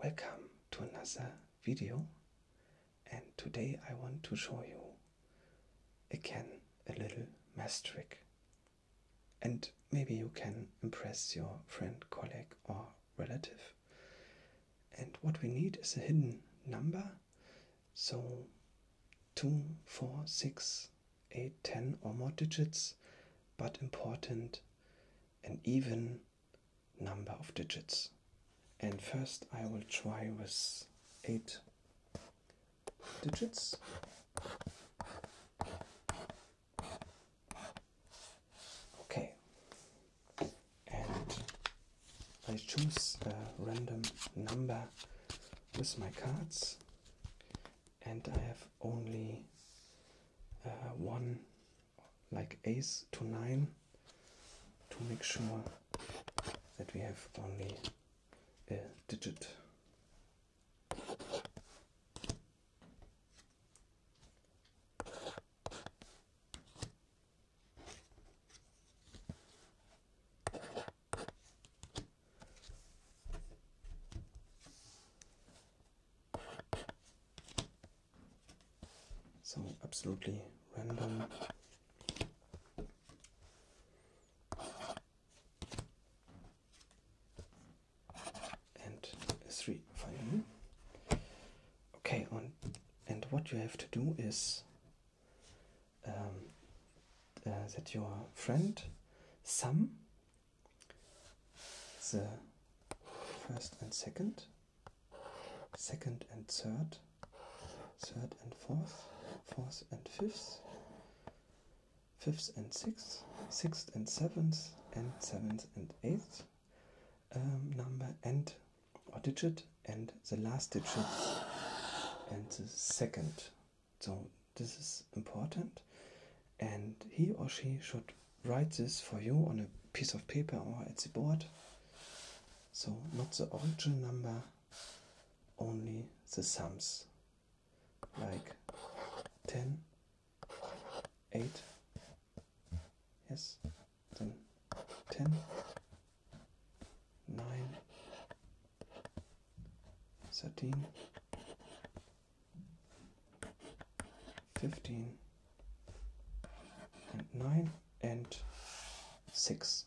Welcome to another video and today I want to show you again a little math trick and maybe you can impress your friend, colleague or relative. And what we need is a hidden number. So 2, 4, 6, 8, 10 or more digits but important an even number of digits. And first I will try with eight digits. Okay, and I choose a random number with my cards and I have only uh, one like ace to nine to make sure that we have only a digit. Some absolutely random and three finally. Okay, on and what you have to do is um, uh, that your friend sum the first and second, second and third, third and fourth, fourth and fifth, fifth and sixth, sixth and seventh, and seventh and eighth um, number and or digit, and the last digit and the second so this is important, and he or she should write this for you on a piece of paper or at the board. So not the original number, only the sums, like 10, 8, yes, then 10, 9, 13, 15 and 9 and 6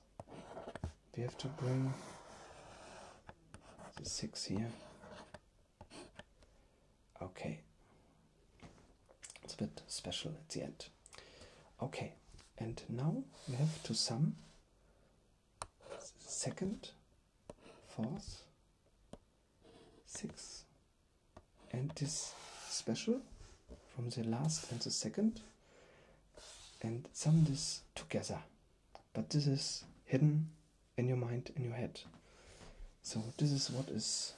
we have to bring the 6 here okay it's a bit special at the end okay and now we have to sum second fourth, sixth, and this special from the last and the second, and sum this together. But this is hidden in your mind, in your head. So, this is what is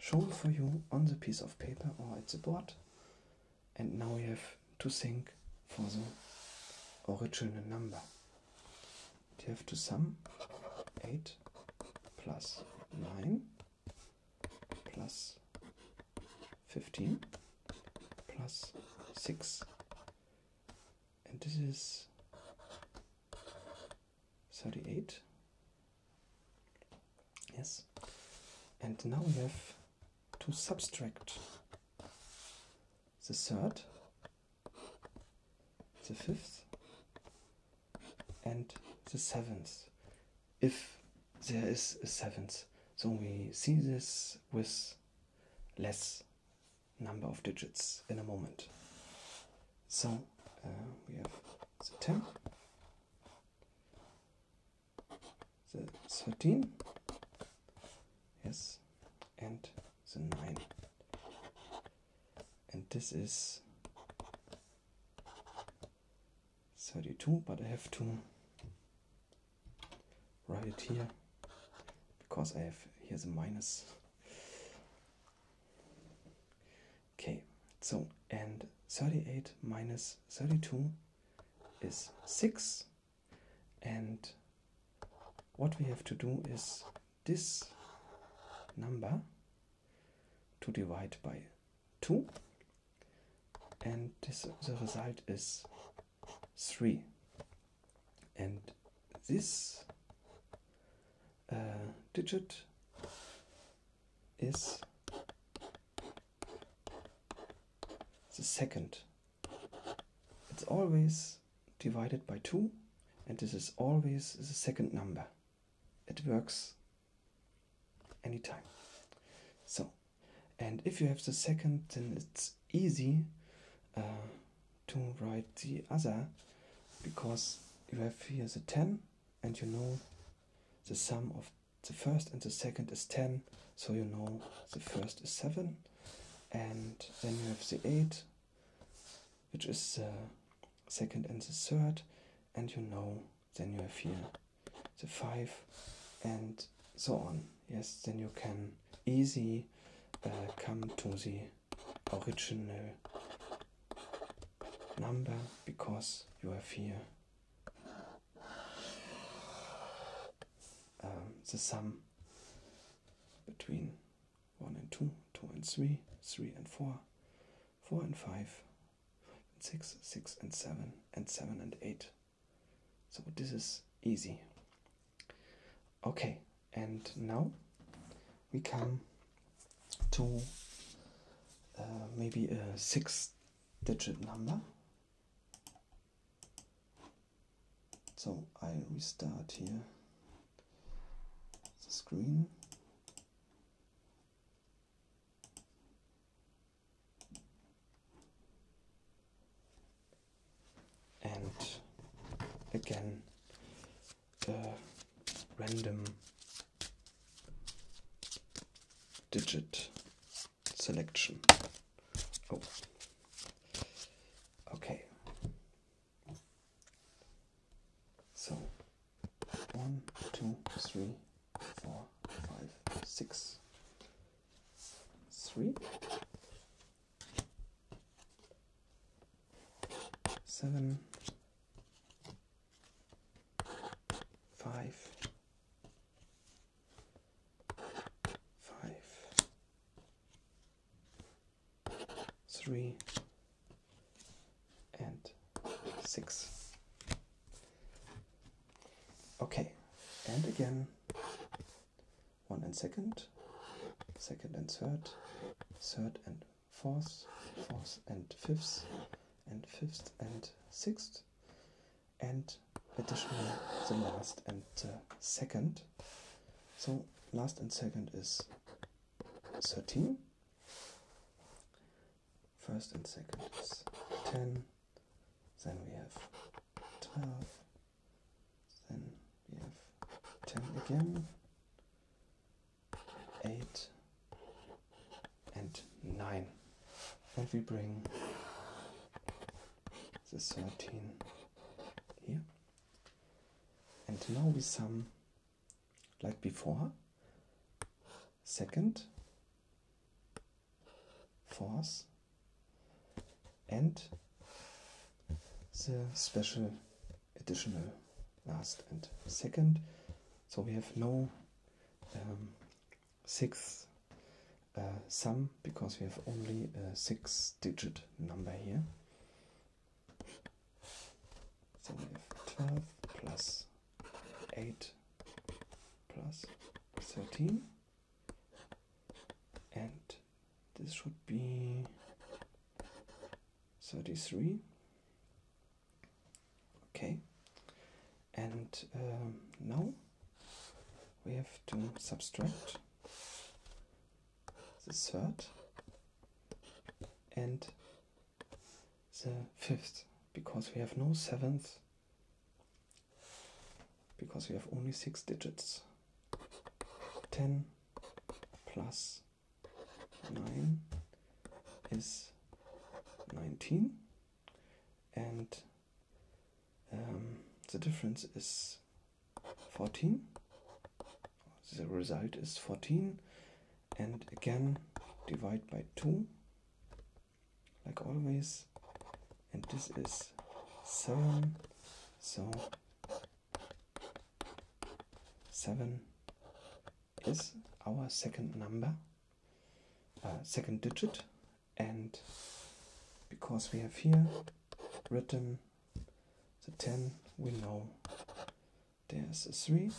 shown for you on the piece of paper or at the board, and now you have to think for the original number. You have to sum 8 plus 9 plus 15 plus 6 and this is 38 yes and now we have to subtract the third, the fifth, and the seventh. If there is a seventh, so we see this with less number of digits in a moment. So uh, we have the 10, the 13 yes and the 9 and this is 32 but I have to write it here because I have here's a minus okay so and 38 minus 32 is 6 and what we have to do is this number to divide by 2 and the result is 3 and this uh, digit is the second it's always divided by 2 and this is always the second number. It works anytime. So, and if you have the second, then it's easy uh, to write the other because you have here the 10 and you know the sum of the first and the second is 10 so you know the first is 7 and then you have the 8 which is the second and the third and you know then you have here the 5 and so on yes then you can easy uh, come to the original number because you have here um, the sum between 1 and 2, 2 and 3, 3 and 4, 4 and 5, 6, and 7, and 7 and 8. So this is easy. Okay, and now we come to uh, maybe a six digit number so I restart here the screen. And again, the random digit selection. Oh. okay. So one, two, three, four, five, six, three, seven, five five, three, and six. Okay, and again, one and second, second and third, third and fourth, fourth and fifth, and fifth and sixth, and additionally the last and uh, second. So last and second is 13. First and second is 10. Then we have 12. Then we have 10 again eight, and nine. And we bring the 13 here. And now we sum like before second, fourth, and the special additional last and second so we have no um, sixth uh, sum because we have only a six digit number here. So we have 12 plus 8 plus 13 and this should be 33 Okay, and um, now we have to subtract the third and the fifth because we have no seventh because we have only six digits 10 plus 9 is 19 and um, the difference is 14 the result is 14 and again divide by 2 like always and this is 7 so 7 is our second number, uh, second digit, and because we have here written the 10, we know there's a 3,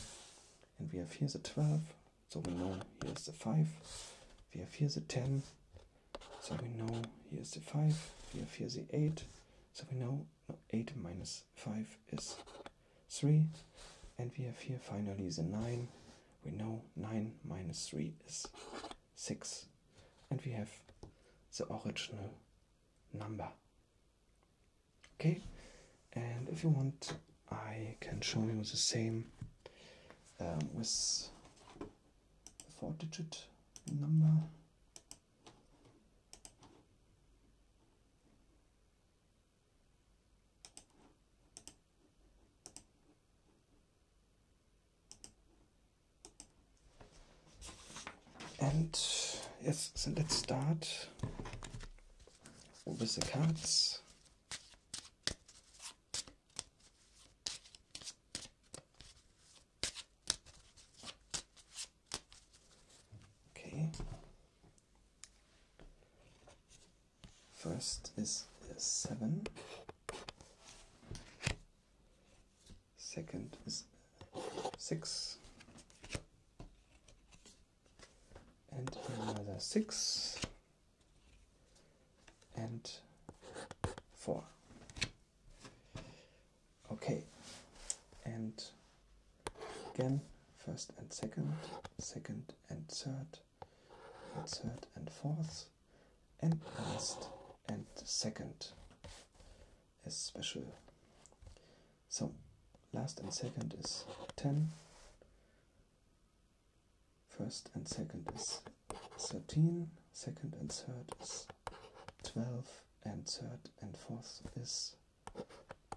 and we have here the 12, so we know here's the 5, we have here the 10, so we know here's the 5, we have here the 8, so we know no, 8 minus 5 is 3. And we have here finally the 9. We know 9 minus 3 is 6. And we have the original number. Okay, and if you want, I can show you the same um, with the four digit number. And yes, so let's start with the cards. Okay. First is a seven. Second is six. And another six. And four. Okay, and again, first and second, second and third, third and fourth, and last and second is special. So, last and second is 10, first and second is 13, second and third is 12 and third and fourth is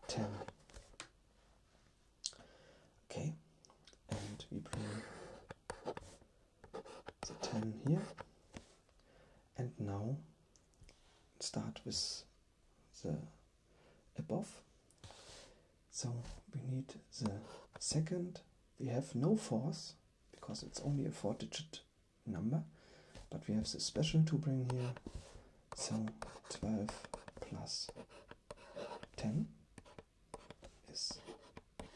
10 okay and we bring the 10 here and now start with the above so we need the second we have no fourth because it's only a four digit number, but we have the special to bring here. So 12 plus 10 is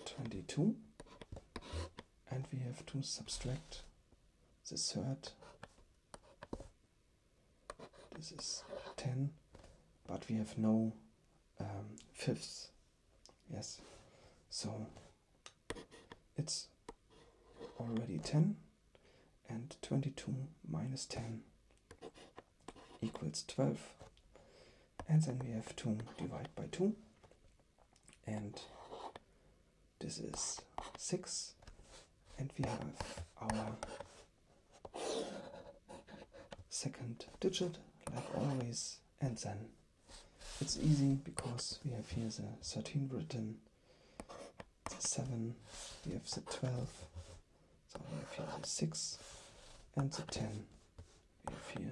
22, and we have to subtract the third. This is 10, but we have no um, fifths Yes. So it's already 10 and 22 minus 10 equals 12. And then we have 2 divided by 2. And this is 6. And we have our second digit, like always, and then it's easy because we have here the 13 written, the 7, we have the 12, so we have here the 6 and the 10, we have here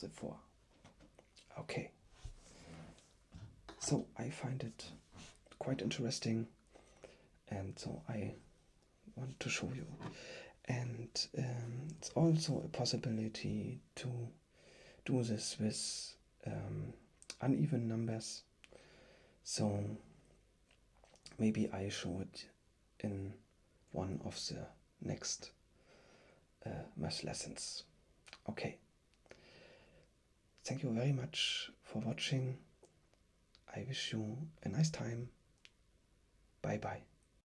the 4. Okay, so I find it quite interesting and so I want to show you and um, it's also a possibility to do this with um, uneven numbers so maybe i show it in one of the next uh, math lessons okay thank you very much for watching i wish you a nice time bye bye